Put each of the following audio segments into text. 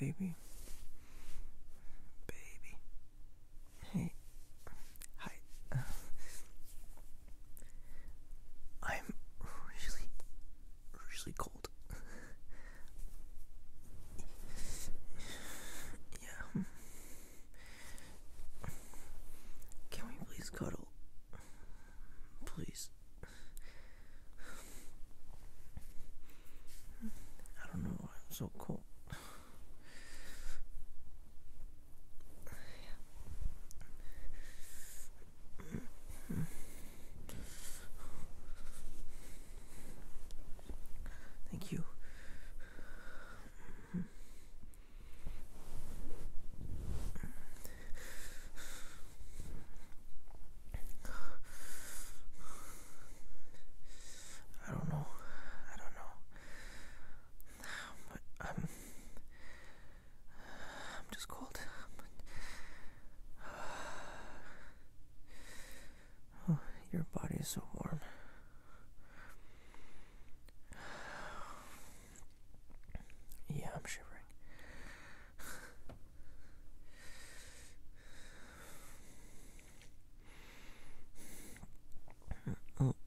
Baby, baby. Hey. Hi. I'm really, really cold. yeah. Can we please cuddle? Please. I don't know why I'm so cold. Thank you. I don't know. I don't know. I'm. Um, I'm just cold. your body is so warm. Yeah, I'm shivering.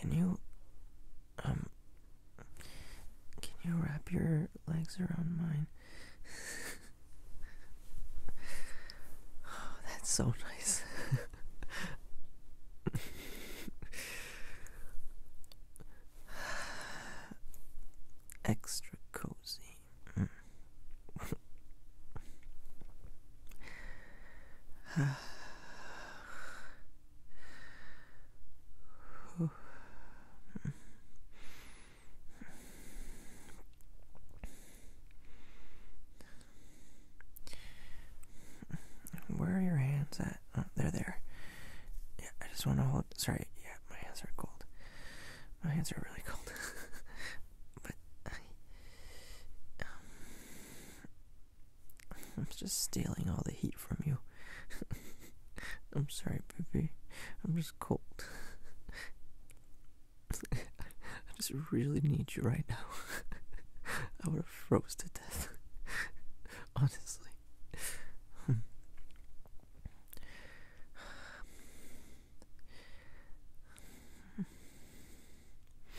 Can you um, can you wrap your legs around mine? oh, that's so nice. Extra cozy. Mm. Where are your hands at? Oh, they're there. Yeah, I just want to hold. Sorry, yeah, my hands are cold. My hands are really cold. but um, I'm just stealing all the heat from you. I'm sorry, baby. I'm just cold. I just really need you right now. I would have froze to death. Honestly. Hmm.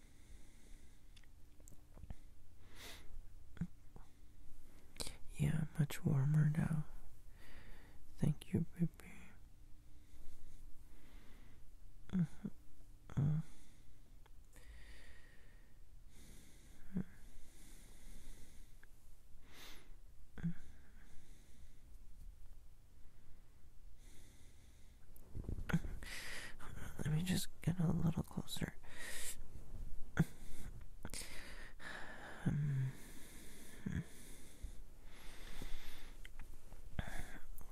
Yeah, much warmer now. Thank you, baby. Mm-hmm. Mm -hmm. uh. Mm -hmm. Let me just get a little closer.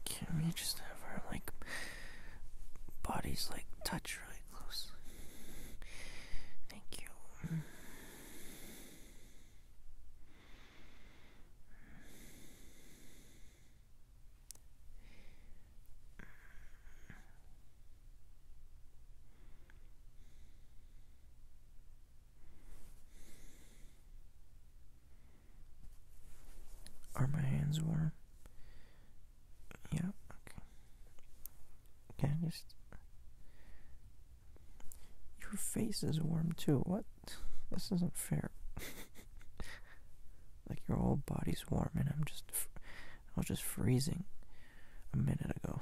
can we just have our like bodies like touch really close? Thank you. Are my hands warm? Yeah, okay. Can just. Your face is warm too. What? this isn't fair. like your whole body's warm and I'm just, I was just freezing a minute ago.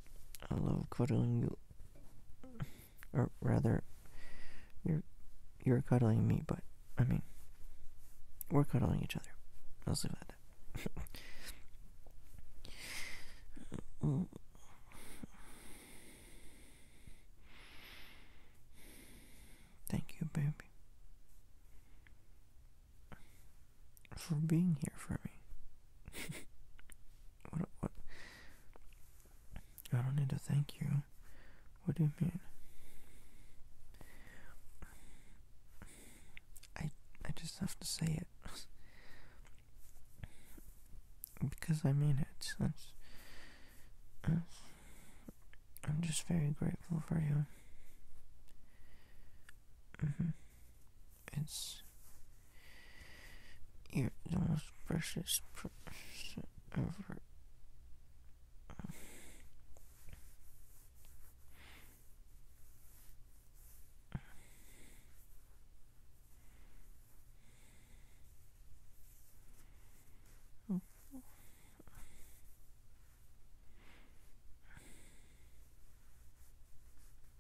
I love cuddling you. Or rather, you're you're cuddling me, but I mean, we're cuddling each other. I'll leave it at that. Thank you, baby for being here for me. what, what? I don't need to thank you. What do you mean? I I just have to say it because I mean it. Uh, I'm just very grateful for you. Mm-hmm. It's you're the most precious person ever.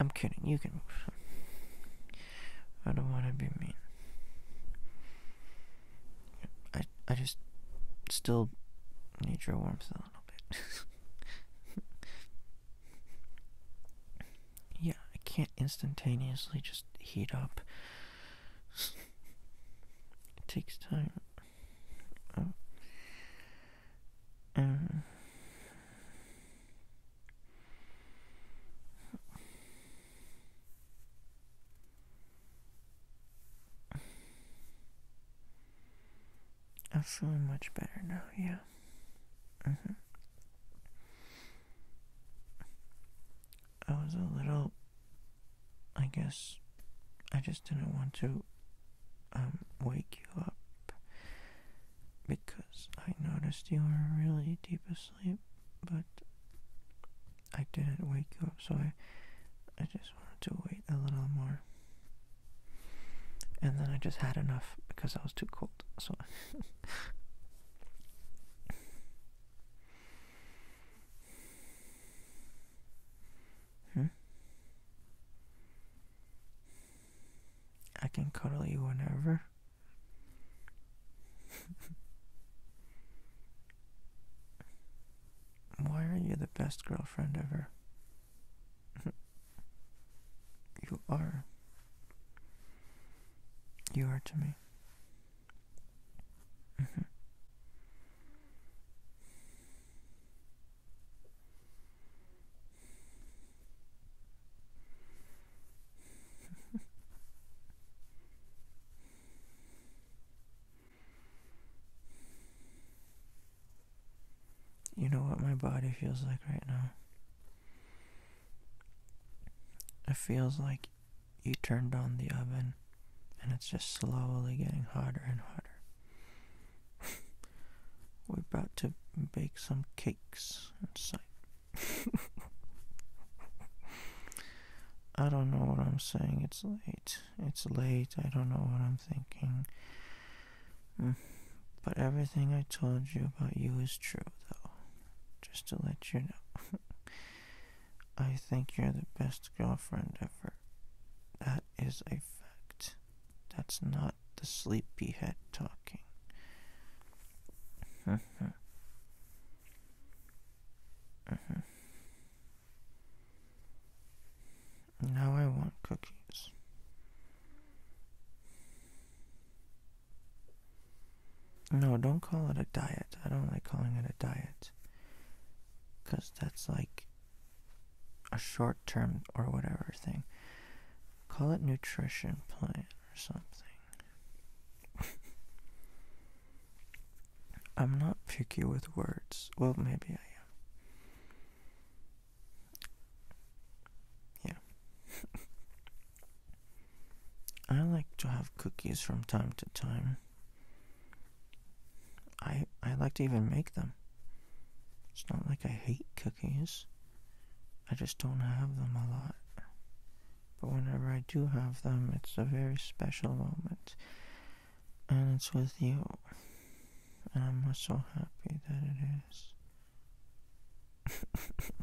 I'm kidding. You can I don't want to be mean. I I just still need your warmth a little bit. yeah, I can't instantaneously just heat up. It takes time. Oh. Uh, I'm feeling much better now, yeah. Mm-hmm. I was a little. I guess I just didn't want to um, wake you up because I noticed you were really deep asleep, but I didn't wake you up, so I, I just wanted to wait a little more. And then I just had enough because I was too cold, so. Hmm? I can cuddle you whenever. Why are you the best girlfriend ever? you are. You are to me. Mm-hmm you know what my body feels like right now? It feels like you turned on the oven and it's just slowly getting hotter and hotter. We're about to bake some cakes inside. I don't know what I'm saying. It's late. It's late. I don't know what I'm thinking. Mm. But everything I told you about you is true, though. Just to let you know. I think you're the best girlfriend ever. That is a fact. That's not the sleepyhead talking. Uh -huh. Uh -huh. Now I want cookies. No, don't call it a diet. I don't like calling it a diet. Because that's like a short term or whatever thing. Call it nutrition plan or something. I'm not picky with words. Well, maybe I am. Yeah. I like to have cookies from time to time. I I like to even make them. It's not like I hate cookies. I just don't have them a lot. But whenever I do have them, it's a very special moment. And it's with you. And I'm so happy that it is.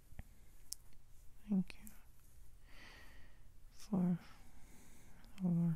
Thank you for the warmth.